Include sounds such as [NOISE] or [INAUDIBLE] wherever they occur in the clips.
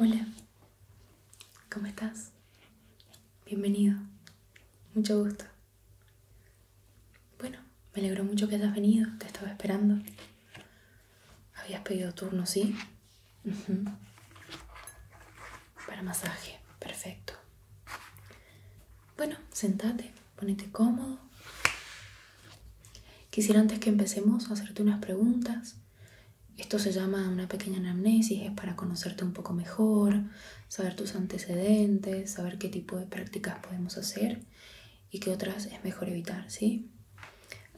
Hola, ¿cómo estás? Bienvenido, mucho gusto. Bueno, me alegro mucho que hayas venido, te estaba esperando. Habías pedido turno, ¿sí? Para masaje, perfecto. Bueno, sentate, ponete cómodo. Quisiera antes que empecemos hacerte unas preguntas. Esto se llama una pequeña anamnesis, es para conocerte un poco mejor, saber tus antecedentes, saber qué tipo de prácticas podemos hacer y qué otras es mejor evitar, ¿sí?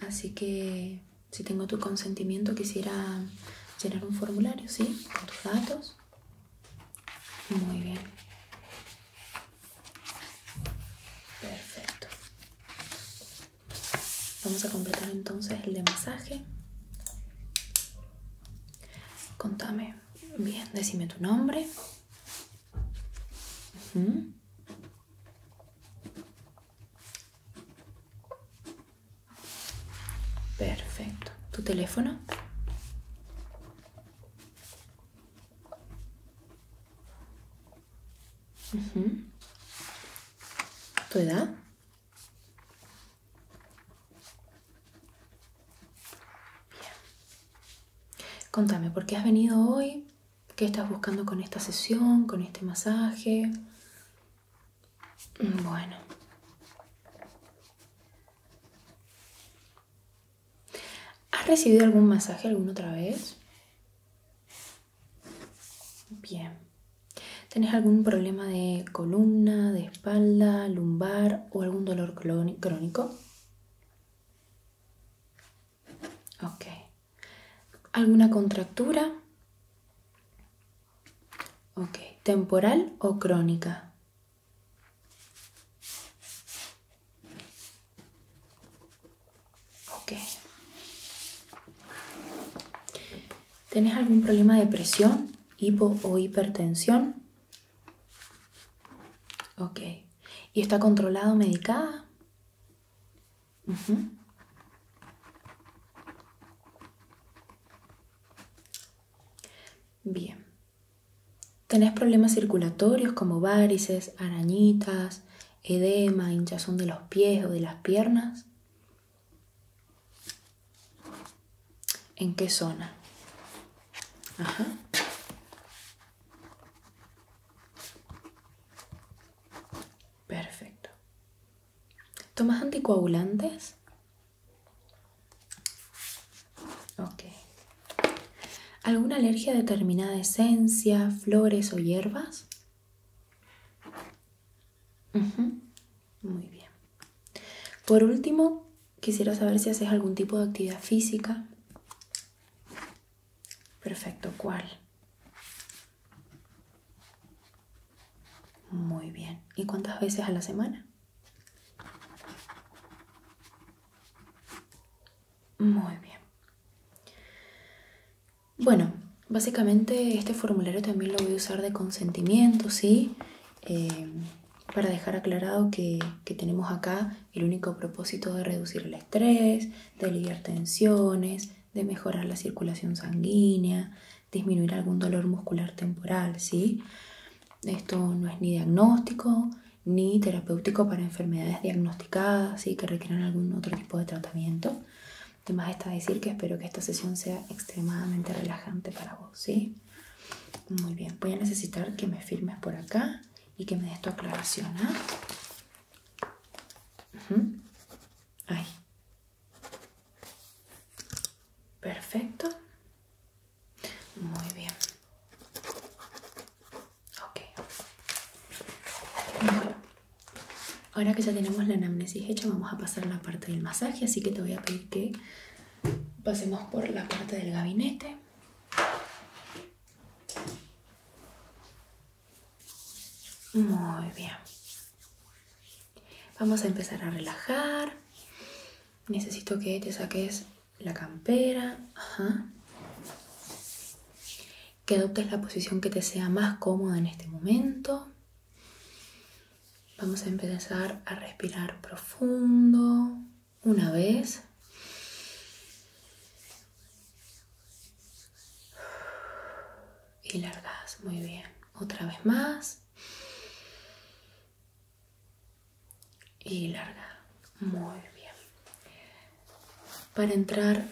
Así que si tengo tu consentimiento quisiera llenar un formulario, ¿sí? Con tus datos muy bien. Perfecto. Vamos a completar entonces el de masaje. Contame. Bien, decime tu nombre. Perfecto. ¿Tu teléfono? ¿Tu edad? Bien. Contame, ¿por qué has venido hoy? ¿Qué estás buscando con esta sesión, con este masaje? Bueno. ¿Has recibido algún masaje alguna otra vez? Bien. ¿Tenés algún problema de columna, de espalda, lumbar o algún dolor crónico? Ok. ¿Alguna contractura? Ok. ¿Temporal o crónica? Okay. ¿Tenés algún problema de presión, hipo o hipertensión? Okay. ¿Y está controlado medicada? Bien. Tenés problemas circulatorios como varices, arañitas, edema, hinchazón de los pies o de las piernas. ¿En qué zona? Ajá. Perfecto. ¿Tomas anticoagulantes? Ok. ¿Alguna alergia a determinada esencia, flores o hierbas? Muy bien. Por último, quisiera saber si haces algún tipo de actividad física. Perfecto, ¿cuál? Muy bien. ¿Y cuántas veces a la semana? Muy bien. Bueno, básicamente este formulario también lo voy a usar de consentimiento, ¿sí? Eh, para dejar aclarado que, tenemos acá el único propósito de reducir el estrés, de aliviar tensiones, de mejorar la circulación sanguínea, disminuir algún dolor muscular temporal, ¿sí? Esto no es ni diagnóstico ni terapéutico para enfermedades diagnosticadas, ¿sí? Que requieran algún otro tipo de tratamiento. Además está decir que espero que esta sesión sea extremadamente relajante para vos, ¿sí? Muy bien, voy a necesitar que me firmes por acá y que me des tu aclaración, ¿ah? Ahí. Perfecto. Muy bien. Ok. ahora que ya tenemos la anamnesis hecha, vamos a pasar a la parte del masaje, así que te voy a pedir que pasemos por la parte del gabinete. Muy bien. Vamos a empezar a relajar. Necesito que te saques la campera. Que adoptes la posición que te sea más cómoda en este momento. Vamos a empezar a respirar profundo. Una vez. Y largas. Muy bien. Otra vez más y larga. Muy bien. Para entrar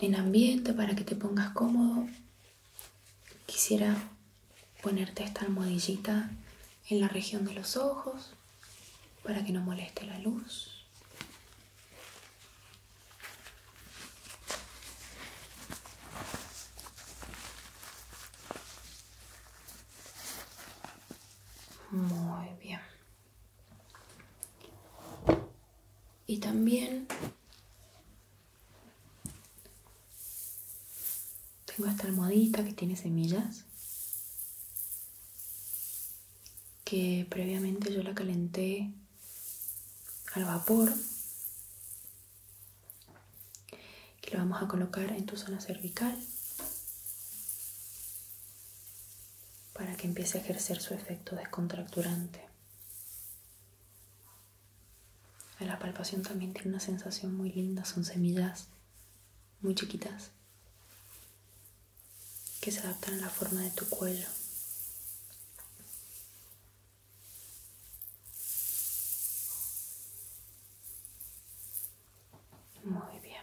en ambiente, para que te pongas cómodo, quisiera ponerte esta almohadillita en la región de los ojos para que no moleste la luz. Muy bien. Y también tengo esta almohadita que tiene semillas que previamente yo la calenté al vapor y lo vamos a colocar en tu zona cervical para que empiece a ejercer su efecto descontracturante. La palpación también tiene una sensación muy linda, son semillas muy chiquitas que se adaptan a la forma de tu cuello. Muy bien.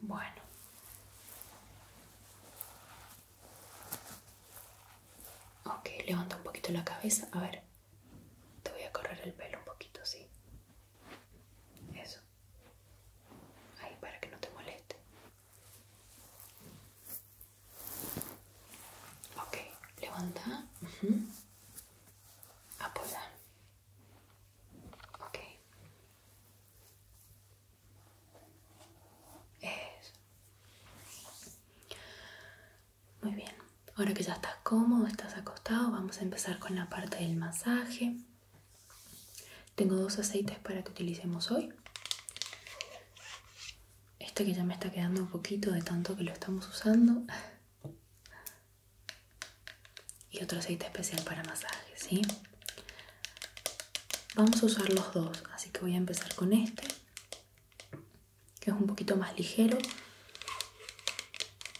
Bueno. Ok, levanta un poquito la cabeza. A ver, te voy a correr el pelo un poquito, ¿sí? Eso. Ahí para que no te moleste. Ok, levanta. Ok. Eso. Muy bien. Ahora que ya estás cómodo, estás acostado, vamos a empezar con la parte del masaje. Tengo dos aceites para que utilicemos hoy. Este que ya me está quedando un poquito de tanto que lo estamos usando. Y otro aceite especial para masaje, ¿sí? Vamos a usar los dos, así que voy a empezar con este, que es un poquito más ligero,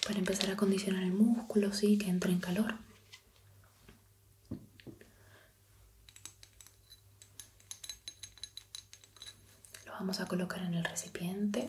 para empezar a condicionar el músculo, ¿sí? Que entre en calor. Lo vamos a colocar en el recipiente.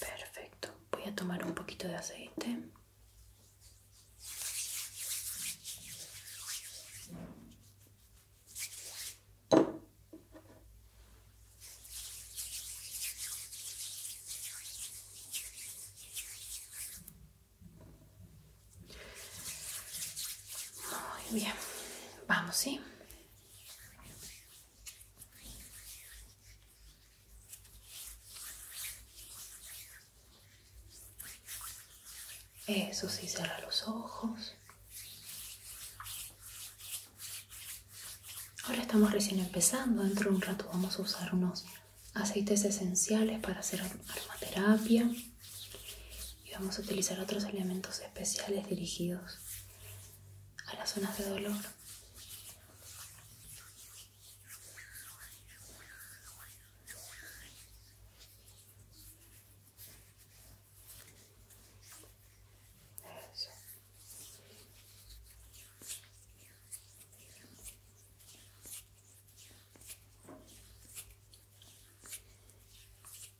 Perfecto. Voy a tomar un poquito de aceite. Muy bien, vamos, ¿sí? Eso sí, cierra los ojos. Ahora estamos recién empezando, dentro de un rato vamos a usar unos aceites esenciales para hacer aromaterapia y vamos a utilizar otros elementos especiales dirigidos a las zonas de dolor.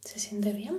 ¿Se siente bien?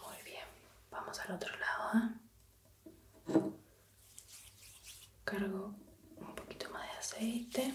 Muy bien, vamos al otro lado. ¿eh? Cargo un poquito más de aceite.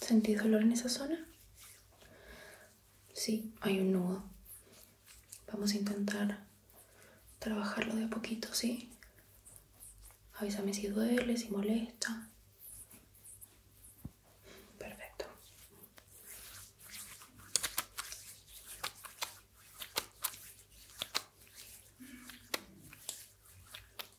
¿Sentís dolor en esa zona? Sí, hay un nudo. Vamos a intentar trabajarlo de a poquito, ¿sí? Avísame si duele, si molesta. Perfecto.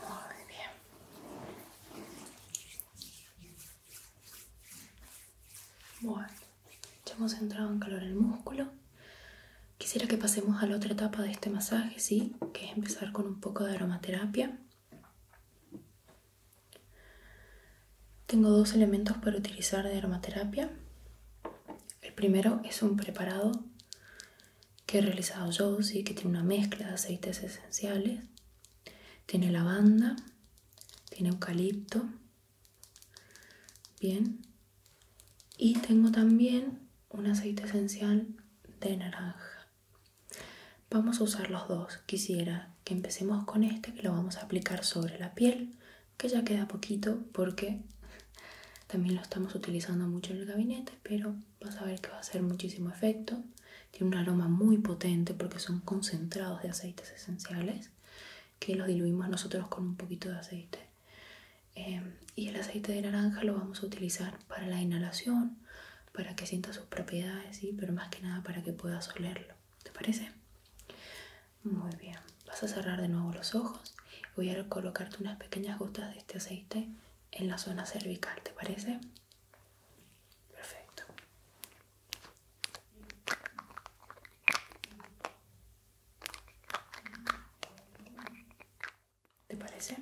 Muy bien. Bueno, ya hemos entrado en calor el músculo. Quisiera que pasemos a la otra etapa de este masaje, ¿sí? Que es empezar con un poco de aromaterapia. Tengo dos elementos para utilizar de aromaterapia. El primero es un preparado que he realizado yo, ¿sí? que tiene una mezcla de aceites esenciales. Tiene lavanda, tiene eucalipto. Bien. Y tengo también un aceite esencial de naranja. Vamos a usar los dos. Quisiera que empecemos con este que lo vamos a aplicar sobre la piel, que ya queda poquito porque [LAUGHS] también lo estamos utilizando mucho en el gabinete, pero vas a ver que va a hacer muchísimo efecto. Tiene un aroma muy potente porque son concentrados de aceites esenciales que los diluimos nosotros con un poquito de aceite. Em, y el aceite de naranja lo vamos a utilizar para la inhalación, para que sienta sus propiedades, pero más que nada para que puedas olerlo. ¿Te parece? Muy bien. Vas a cerrar de nuevo los ojos. Voy a colocarte unas pequeñas gotas de este aceite en la zona cervical, ¿te parece? Perfecto. ¿Te parece?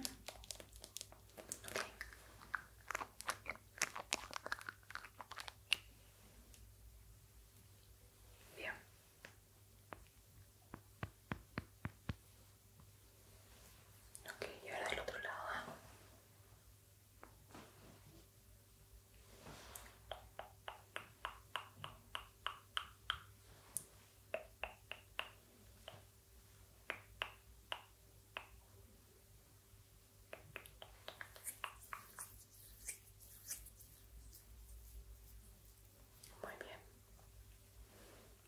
Bien. Ok, y ahora del otro lado. Ah. Muy bien.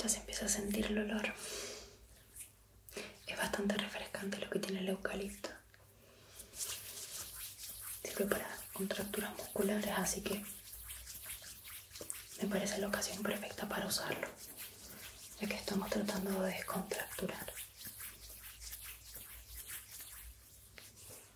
Ya se empieza a sentir el olor. Es bastante refrescante lo que tiene el eucalipto. Sirve para contracturas musculares, así que me parece la ocasión perfecta para usarlo, ya que estamos tratando de descontracturar.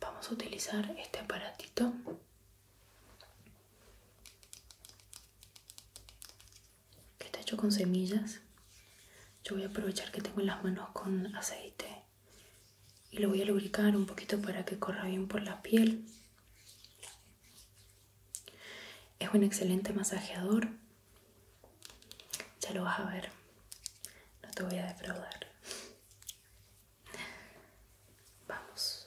Vamos a utilizar este aparatito que está hecho con semillas. Yo voy a aprovechar que tengo las manos con aceite y lo voy a lubricar un poquito para que corra bien por la piel. Es un excelente masajeador ya lo vas a ver. No te voy a defraudar. Vamos.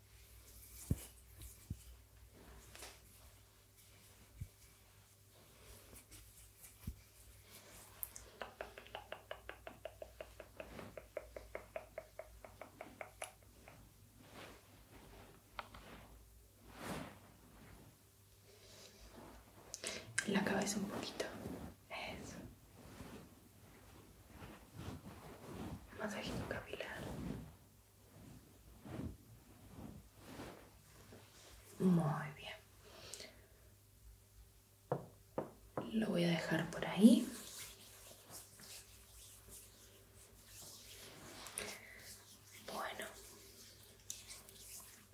En la cabeza un poquito. Eso masajito capilar muy bien lo voy a dejar por ahí bueno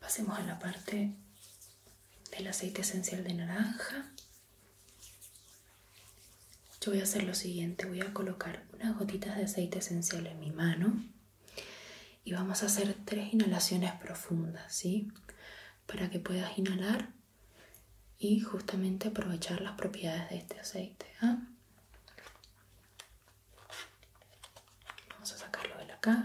pasemos a la parte del aceite esencial de naranja yo voy a hacer lo siguiente, voy a colocar unas gotitas de aceite esencial en mi mano y vamos a hacer tres inhalaciones profundas, ¿sí? Para que puedas inhalar y justamente aprovechar las propiedades de este aceite. ¿ah? Vamos a sacarlo de la caja.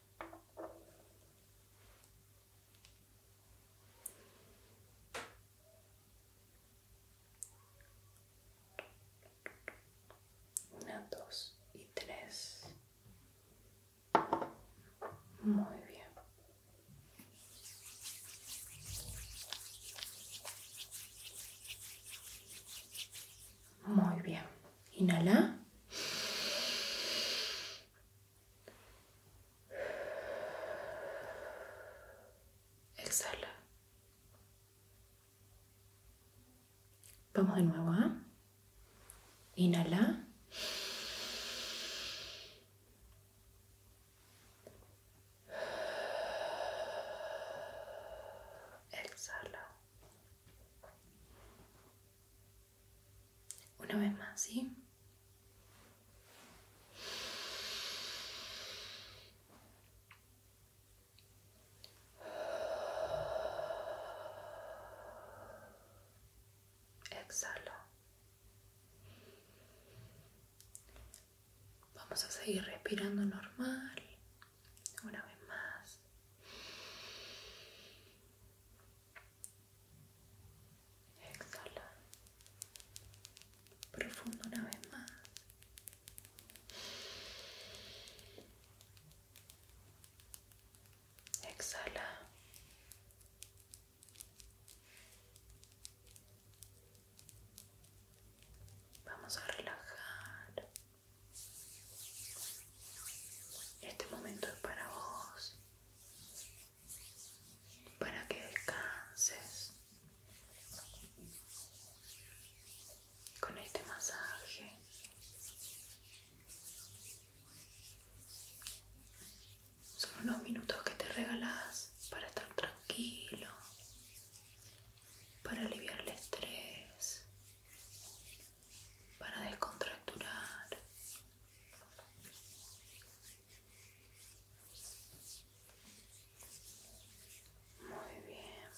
Una, dos y tres. Muy bien. Muy bien. Inhala. Exhala. Vamos de nuevo. ¿ah? Inhala. Exhala. Una vez más, ¿sí? Exhalo. Vamos a seguir respirando normal. Una vez más exhala profundo una vez más exhala vamos a relajar este momento es para vos para que descanses con este masaje. Son unos minutos que te regalas para estar tranquilo, para aliviar el estrés, para descontracturar. Muy bien.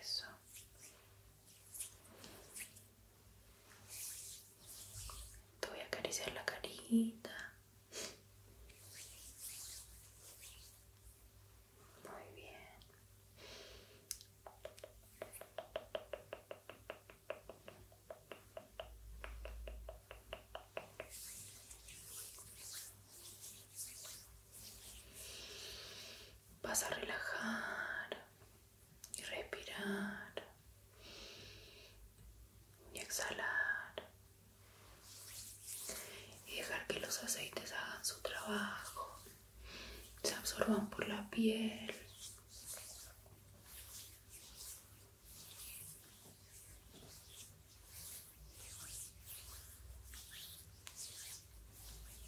Eso. Te voy a acariciar la carita. Muy bien. Vas a relajar y respirar y exhalar y dejar que los aceites hagan su trabajo, se absorban por la piel.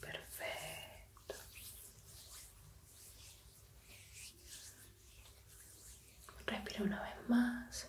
Perfecto. Respira una vez más.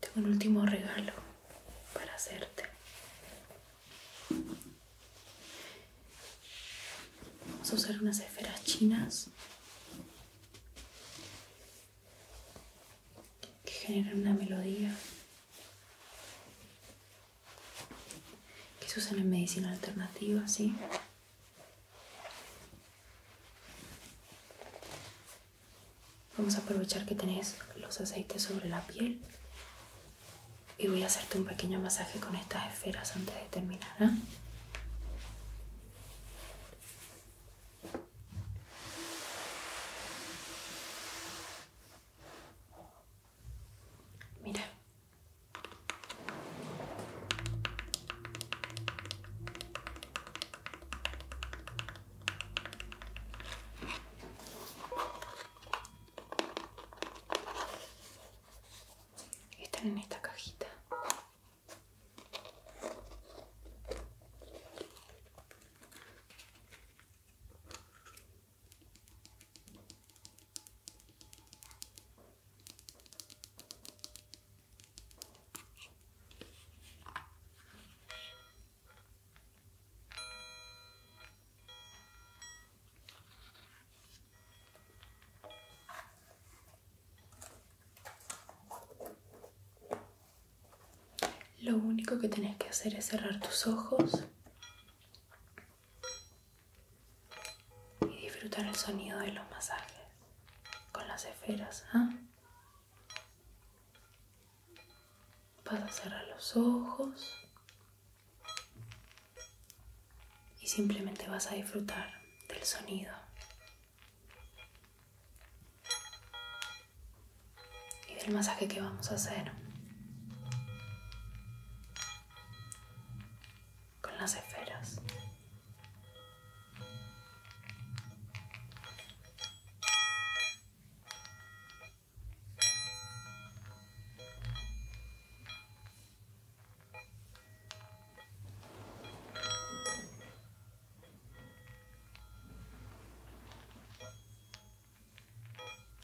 Tengo un último regalo para hacerte. Vamos a usar unas esferas chinas que generan una melodía que se usan en medicina alternativa, ¿sí? Vamos a aprovechar que tenés los aceites sobre la piel y voy a hacerte un pequeño masaje con estas esferas antes de terminar. ¿ah? Mira. Están en esta cajita. Lo único que tenés que hacer es cerrar tus ojos y disfrutar el sonido de los masajes con las esferas. ¿ah? Vas a cerrar los ojos y simplemente vas a disfrutar del sonido. y del masaje que vamos a hacer con las esferas.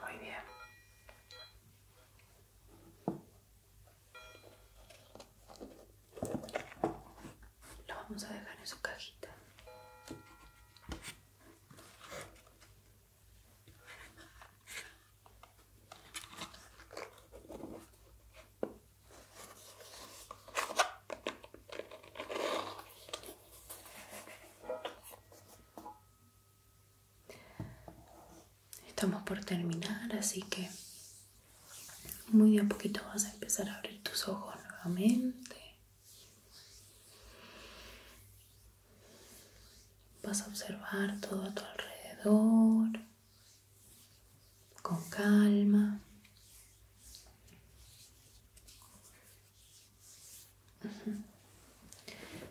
Muy bien. Lo vamos a dejar en su cajita. Estamos por terminar, así que muy de a poquito vas a empezar a abrir tus ojos nuevamente. Vas a observar todo a tu alrededor con calma.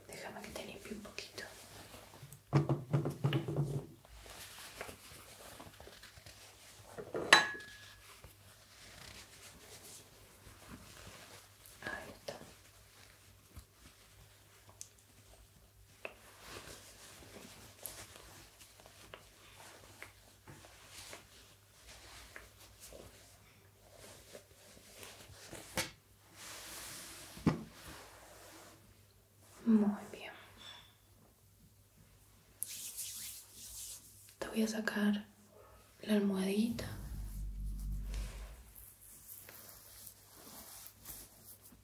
Déjame que te un poquito. Muy bien. Te voy a sacar la almohadita.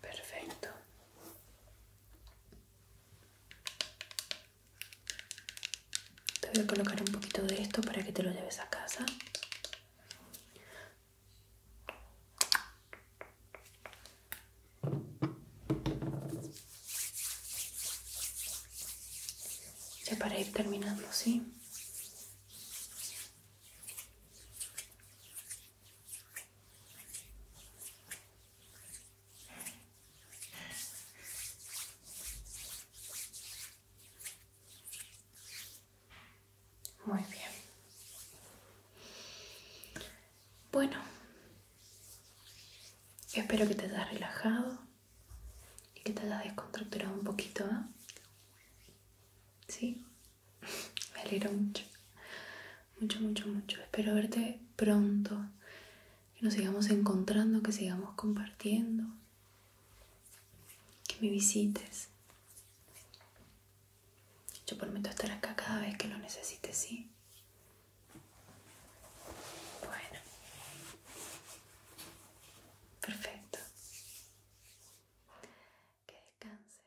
Perfecto. Te voy a colocar un poquito de esto para que te lo lleves a casa. Ya para ir terminando, ¿sí? Muy bien. Bueno, espero que te haya relajado y que te haya desconstructurado un poquito, ¿ah? ¿Sí? Me alegro mucho. Mucho, mucho, mucho. Espero verte pronto. Que nos sigamos encontrando, que sigamos compartiendo. Que me visites. Yo prometo estar acá cada vez que lo necesites, ¿sí? Bueno. Perfecto que descanses.